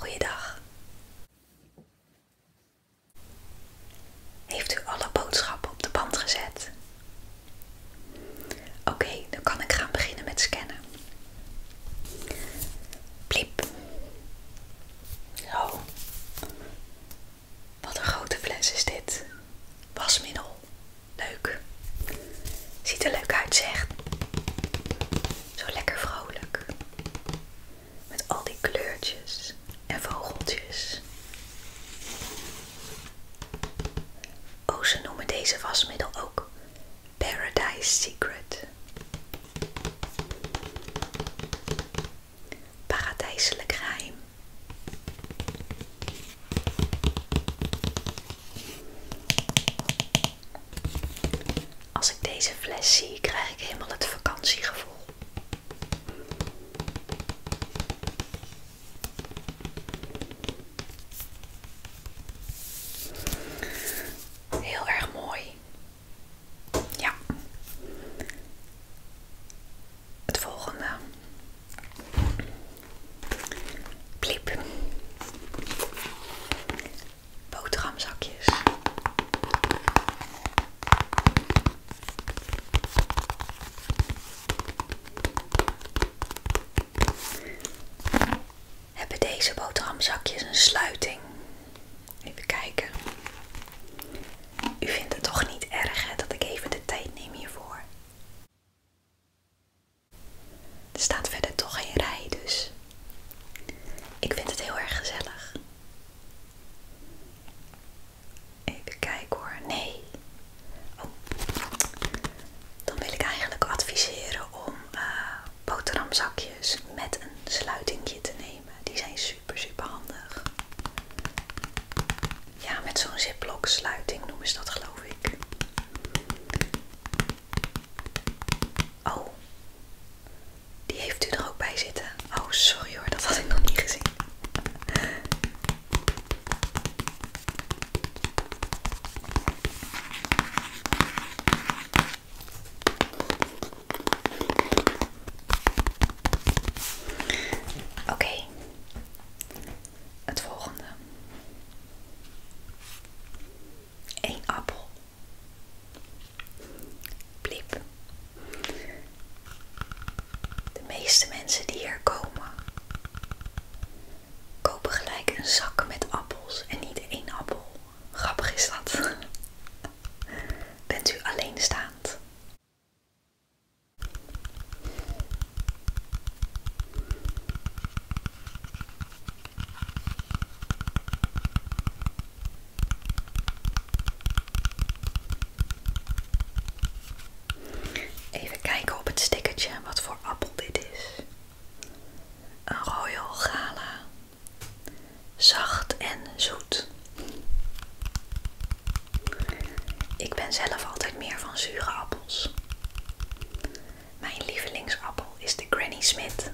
Goeiedag. Heeft u alle boodschappen op de band gezet? Oké, dan kan ik gaan beginnen met scannen. Pliep. Zo. Wat een grote fles is dit. Wasmiddel. Leuk. Ziet er leuk uit, zeg. Zo lekker vrolijk. Met al die kleurtjes en vogeltjes. Oh, ze noemen deze wasmiddel ook Paradise Secret. Paradijselijk geheim. Als ik deze fles zie, krijg ik helemaal het vakantiegevoel. Heel erg mooi. Ja het volgende. Bliep. Boterhamzakjes. Hebben deze boterhamzakjes een sluiting? Even kijken. U vindt het toch niet erg dat ik even de tijd neem hiervoor? Er staat verder toch geen rij, dus ik vind het heel erg gezellig. Even kijken hoor. Nee. Oh. Dan wil ik eigenlijk adviseren om eh, boterhamzakjes met een sluitingje te nemen. Die zijn super, super handig. Ja, met zo'n ziplock sluiting noem ze dat geloof ik. Oh, die heeft u er ook bij zitten. Oh, sorry hoor, dat had ik nog niet gezien. Oké, het volgende. Een appel. Bliep. De meeste mensen die hier komen, kopen gelijk een zak met appels en niet één appel. Grappig is dat. Bent u alleenstaand? Even kijken op het stickertje wat voor appel dit is. Een Royal Gala. Zacht en zoet. Ik ben zelf altijd meer van zure appel. Mijn lievelingsappel is de Granny Smith.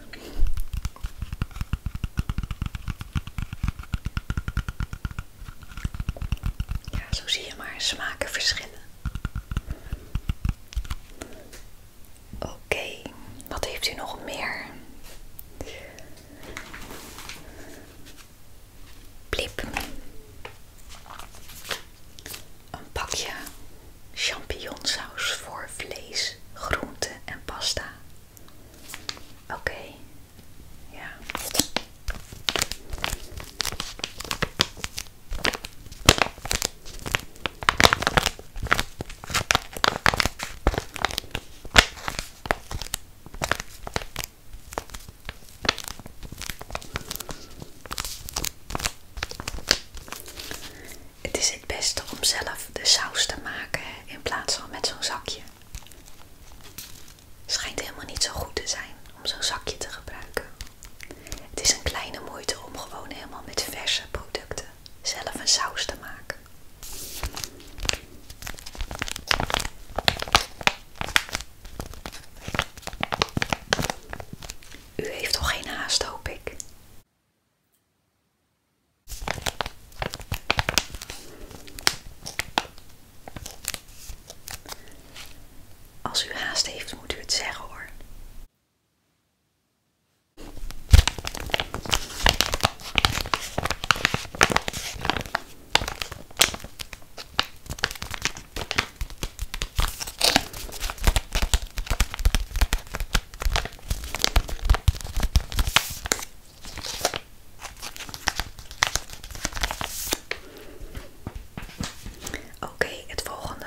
Ja, zo zie je maar smaken verschillen. Oké, wat heeft u nog meer? blip, Een pakje champignonsaus voor vlees, groente en pasta. Oké, ja. Het is het beste om zelf de saus te maken in plaats van met zo'n zakje. Schijnt helemaal niet zo goed te zijn om zo'n zakje te gebruiken. Het is een kleine moeite om gewoon helemaal met verse producten zelf een saus te maken. U heeft toch geen haast, hoop ik. Als u haast heeft, moet u het zeggen hoor. Oké, het volgende.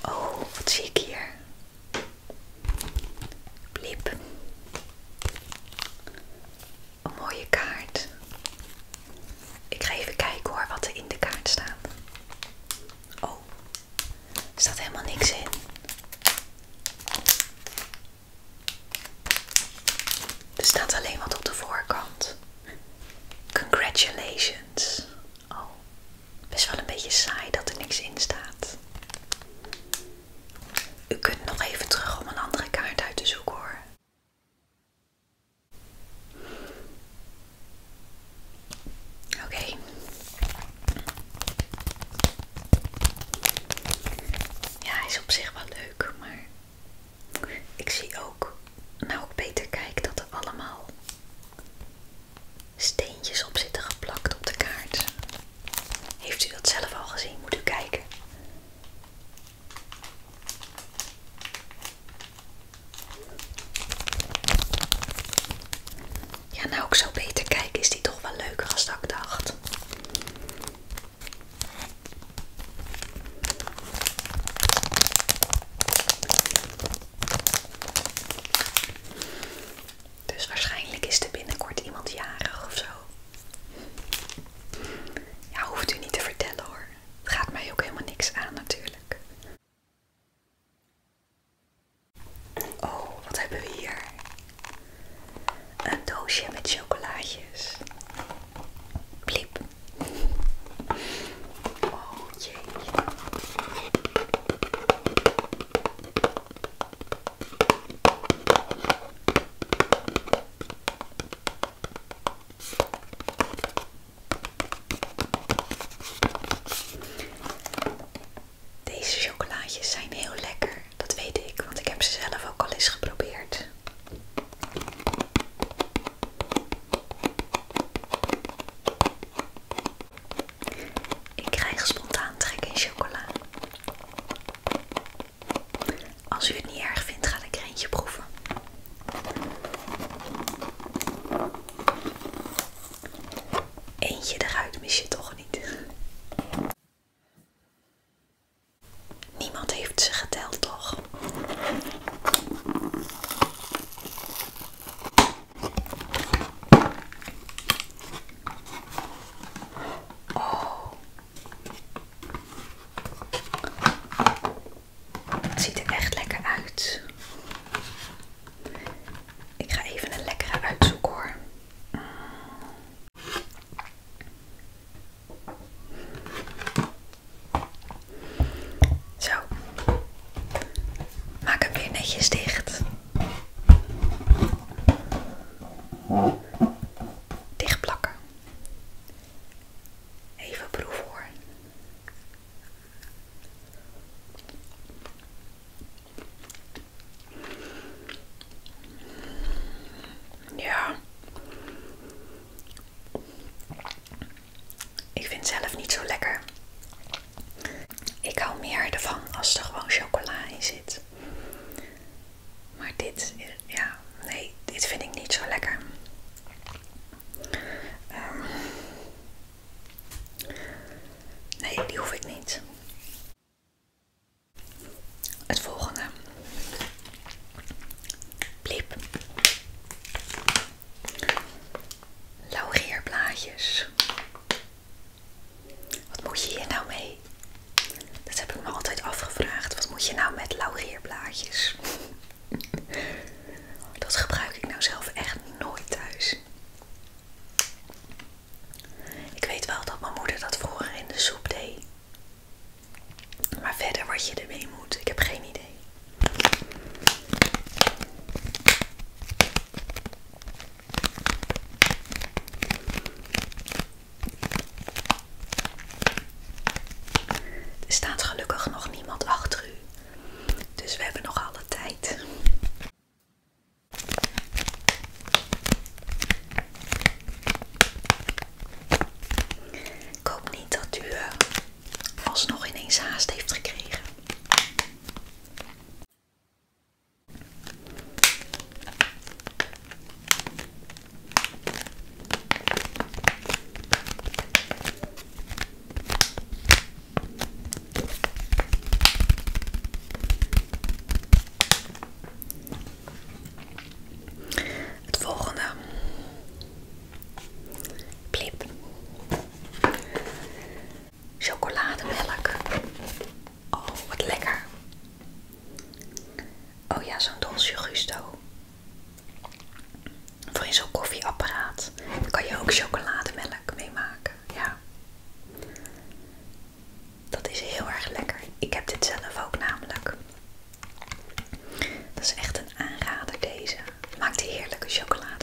Oh, wat zie ik hier? Blip. Een mooie kaart. Ik ga even kijken hoor wat er in de kaart staat. Oh, er staat helemaal niks in. Er staat alleen wat op de voorkant. Congratulations. Oh, best wel een beetje saai dat er niks in staat. U kunt nog even terug om een andere kaart uit te zoeken hoor. Oké. Ja, hij is op zich wel leuk, maar ik zie ook, nou ik beter kijk, dat er allemaal steentjes op zitten geplakt op de kaart. Heeft u dat zelf al gezien? Moet u kijken. Ja, nou ook zo beter kijken, is die toch wel leuker als ik dacht. Dus waarschijnlijk is er binnenkort iemand jarig of zo. Ja, hoeft u niet te vertellen hoor gaat mij ook helemaal niks aan natuurlijk. Oh, wat hebben we hier? Een doosje met chocolaatjes. Bliep. Oh jee. Deze chocolaatjes zijn heel lekker, dat weet ik, want ik heb ze zelf ook al eens geprobeerd. Ik krijg spontaan trek in chocola. Als u het niet erg vindt, ga ik er eentje proeven. Eentje eruit mis je toch niet. Niemand heeft ze geteld, toch? Oh. Het ziet er echt lekker uit. Ik ga even een lekkere uitzoeken hoor. Zo. Maak hem weer netjes dicht. Dicht plakken. Even proef hoor. Ja. Ik vind het zelf niet zo lekker. Ik hou meer ervan als er gewoon chocola in zit. Maar dit, ja, nee, dit vind ik niet zo lekker. Ehm, nee, die hoef ik niet. Het volgende. Bliep. Laurierblaadjes. Wat moet je hier nou mee? Dat heb ik me altijd afgevraagd. Wat moet je nou met laurierblaadjes? Dat gebruik ik nou zelf echt nooit thuis. Ik weet wel dat mijn moeder dat vroeger in de soep deed. Maar verder wat je ermee moet, ik heb geen idee. Er staat gelukkig nog niemand achter u. Dus we hebben nog alle tijd. Ik hoop niet dat u eh, alsnog ineens haast heeft gekregen. Het volgende. Plip. Chocolademelk. Oh, wat lekker. Oh ja, zo'n dolce gusto. Voor in zo'n koffieapparaat. kan je ook chocolademelk mee maken. Ja. Dat is heel erg lekker. Ik heb dit zelf ook namelijk. Dat is echt een aanrader deze. Maakt heerlijke chocolademelk.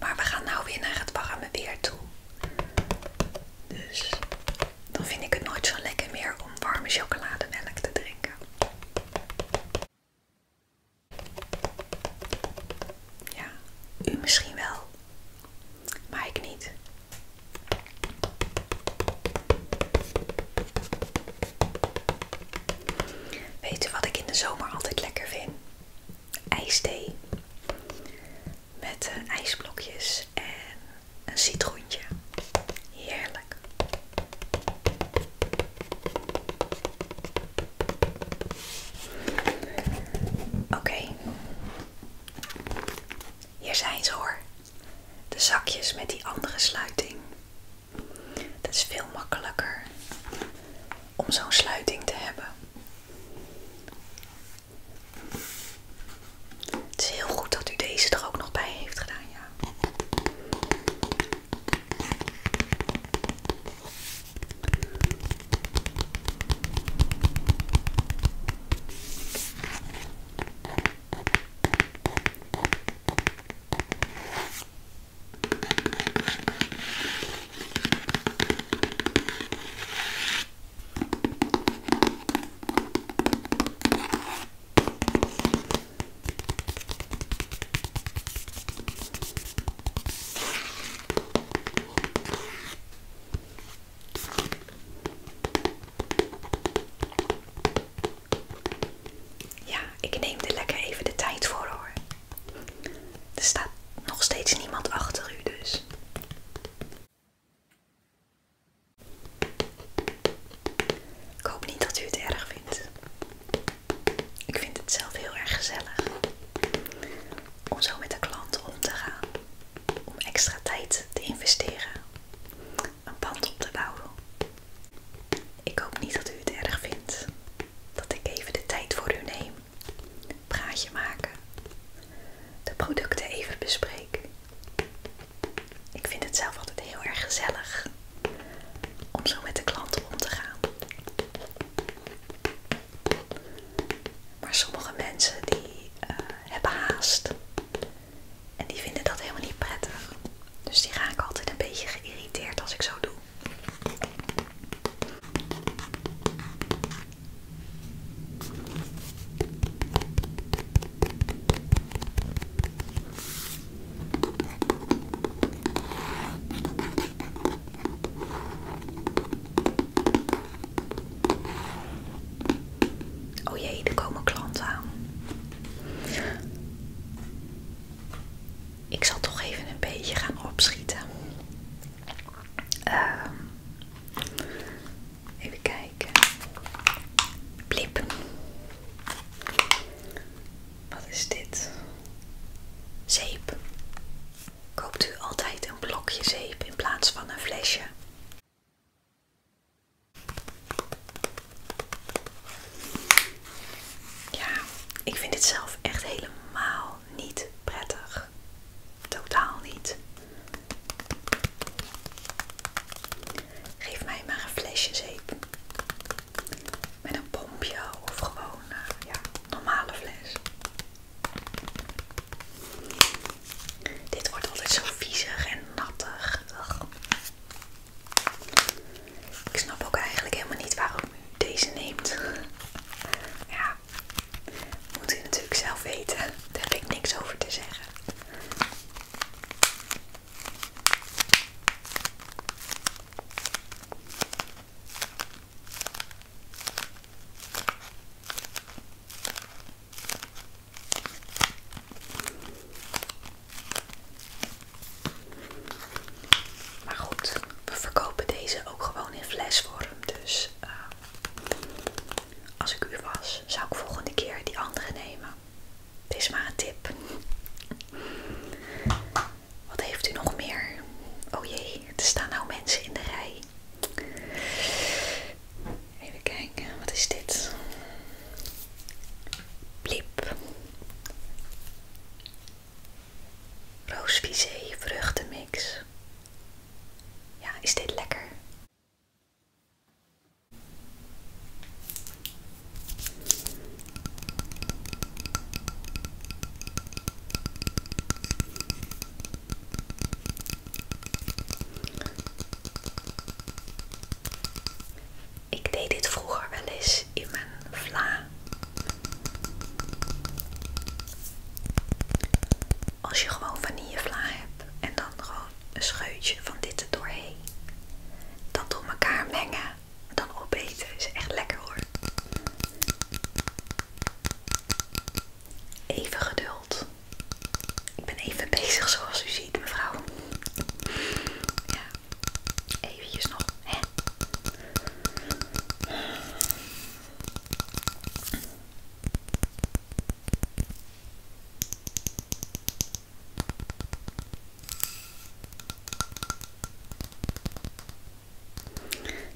Maar we gaan nou weer naar het programma weer toe. Dus dan vind ik het nooit zo lekker meer om warme chocolademelk te drinken. Ja, u misschien wel, maar ik niet. Weet u wat ik in de zomer altijd lekker vind? IJsthee. Met eh, ijsblokjes en een citroentje. Heerlijk. Oké. Hier zijn ze hoor. De zakjes met die andere sluiting. Dat is veel makkelijker om zo'n sluiting te hebben. Het is heel goed dat u deze er ook nog bij heeft gedaan, ja. Ja, ik neem de lekker even de tijd voor hoor. Er staat nog steeds niemand achter u dus. Ik hoop niet dat u het erg vindt. Ik vind het zelf heel erg gezellig om zo met de klant om te gaan. Om extra tijd te investeren. Een band op te bouwen. Ik hoop niet dat u het erg vindt dat ik even de tijd voor u neem. Praatje maken. De producten even bespreek. Ik vind het zelf altijd heel erg gezellig om zo met de klanten om te gaan. Maar sommige mensen die eh, hebben haast en die vinden dat helemaal niet prettig. Dus die ik altijd een beetje geïrriteerd als ik zo doe. Oh jee, er komen klanten aan. Ik zal toch even een beetje gaan opschieten. Uh, Even kijken. Blip. Wat is dit? Zeep. Koopt u altijd een blokje zeep in plaats van een flesje? Ja, ik vind dit zelf echt helemaal niet prettig. Totaal niet. Geef mij maar een flesje zeep. Met een pompje of gewoon een eh, ja, normale fles. Dit wordt altijd zo viezig en nattig. Ik snap ook eigenlijk helemaal niet waarom u deze neemt. ja, moet u natuurlijk zelf weten. Daar heb ik niks over te zeggen. Maar goed, we verkopen deze ook gewoon in flesvorm. Dus ehm, als ik u was, zou ik volgende keer die andere nemen het is maar een tip. Wat heeft u nog meer? Oh jee, er staan nou mensen in de rij. Even kijken, wat is dit? Bliep. Roosvisé vruchtenmix. Ja, is dit lekker? Ik deed dit vroeger wel eens in mijn vla. Als je gewoon van vla hebt en dan gewoon een scheutje van dit er doorheen. Dat door elkaar mengen, dan opeten is echt lekker hoor. Even geduld. Ik ben even bezig zoals u ziet, mevrouw. Ja, eventjes nog,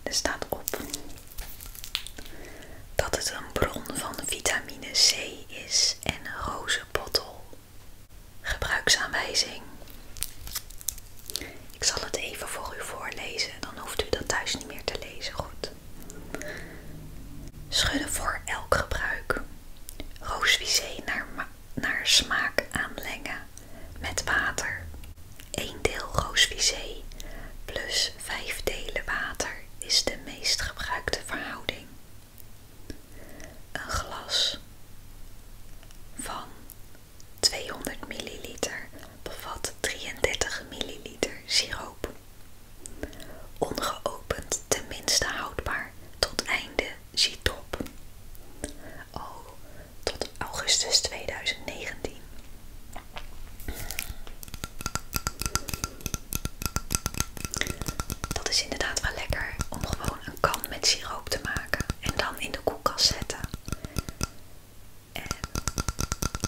er staat op dat het een bron van vitamine C is en rozenbottel. Gebruiksaanwijzing. Ik zal het even voor u voorlezen, dan hoeft u dat thuis niet meer te lezen. Goed. Schudden voor elk gebruik roosvisé naar, naar smaak aanleggen met water. 1 deel roosvisé plus 5 delen water is de meest gebruikte verhouding. Een glas van 200 ml bevat 33 ml siroop. Ongeopend tenminste houdbaar tot einde zietop. Oh, tot augustus 2019. Dat is inderdaad wel lekker om gewoon een kan met siroop te maken en dan in de koelkast zetten. En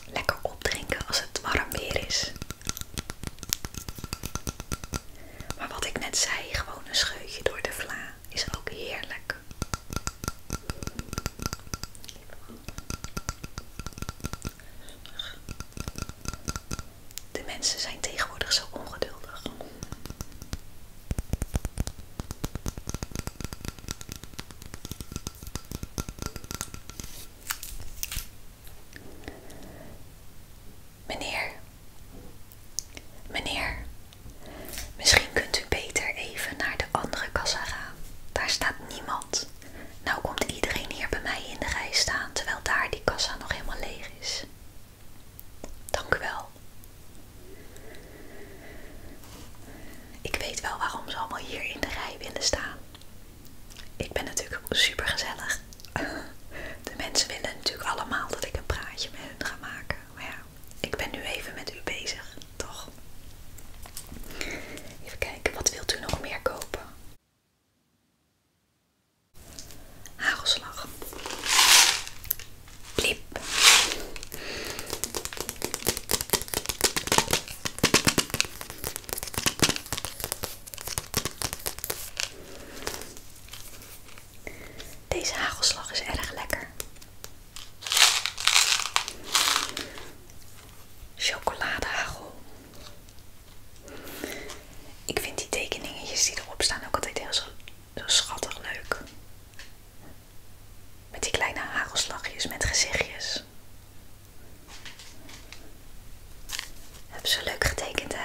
lekker opdrinken als het warm weer is. Maar wat ik net zei, gewoon een scheutje door de vla is ook heerlijk. De mensen zijn tegenwoordig zo ongeduldig. Meneer, meneer, misschien kunt u beter even naar de andere kassa gaan. Daar staat niemand. Nou komt iedereen hier bij mij in de rij staan, terwijl daar die kassa nog helemaal leeg is. Dank u wel. Ik weet wel waarom ze allemaal hier in de rij willen staan. Ik ben natuurlijk super gezellig de mensen willen natuurlijk allemaal dat ik een praatje met hun ga maken. Maar ja, ik ben nu even met u bezig, toch? Even kijken, wat wilt u nog meer kopen? Hagelslag. Bliep. Deze hagelslag is erg lekker. Chocoladehagel. Ik vind die tekeningetjes die erop staan ook altijd heel zo, schattig leuk. Met die kleine hagelslagjes met gezichtjes. Heb ze leuk getekend hè?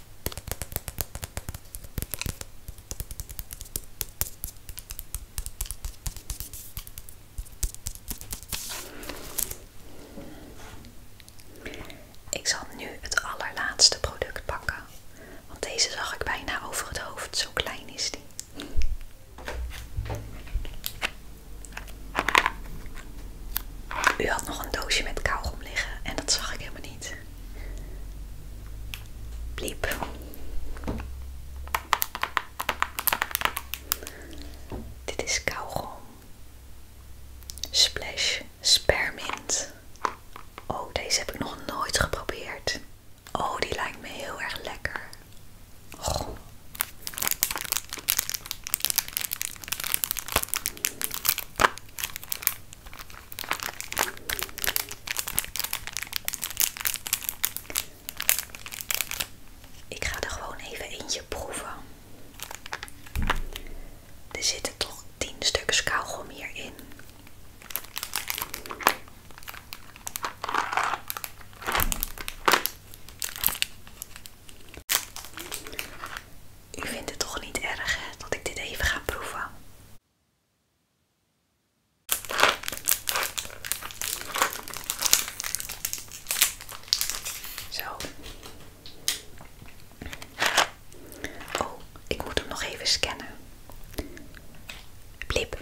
Ik zal nu het allerlaatste product pakken, want deze zag ik bijna over het hoofd, zo klein is die. U had nog een doosje met kauwgom liggen en dat zag ik helemaal niet. Bliep. Dit is kauwgom. Splash Spermint. Oh, deze heb ik nog nooit geprobeerd. Oh, die lijkt me heel erg lekker. Oh. Ik ga er gewoon even eentje proeven. Er zitten toch 10 stuks kauwgom hierin. U vindt het toch niet erg hè, dat ik dit even ga proeven? Zo. Oh, ik moet hem nog even scannen. Blip.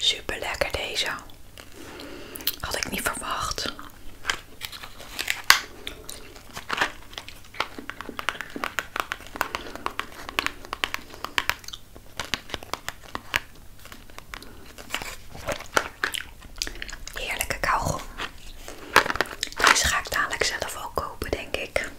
Super lekker deze. Had ik niet verwacht. Heerlijke kauwgom. Deze ga ik dadelijk zelf ook kopen, denk ik.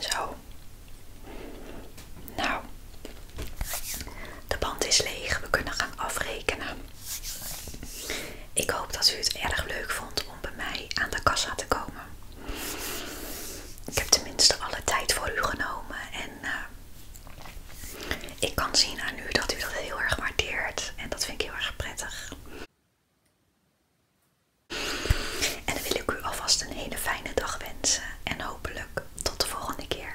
Zo. Nou, de band is leeg. We kunnen gaan afrekenen. Ik hoop dat u het erg leuk vond om bij mij aan de kassa te komen. Ik heb tenminste alle tijd voor u genomen en eh, ik kan zien aan u dat u dat heel erg waardeert en dat vind ik heel erg prettig. En dan wil ik u alvast een hele fijne dag wensen en hopelijk tot de volgende keer.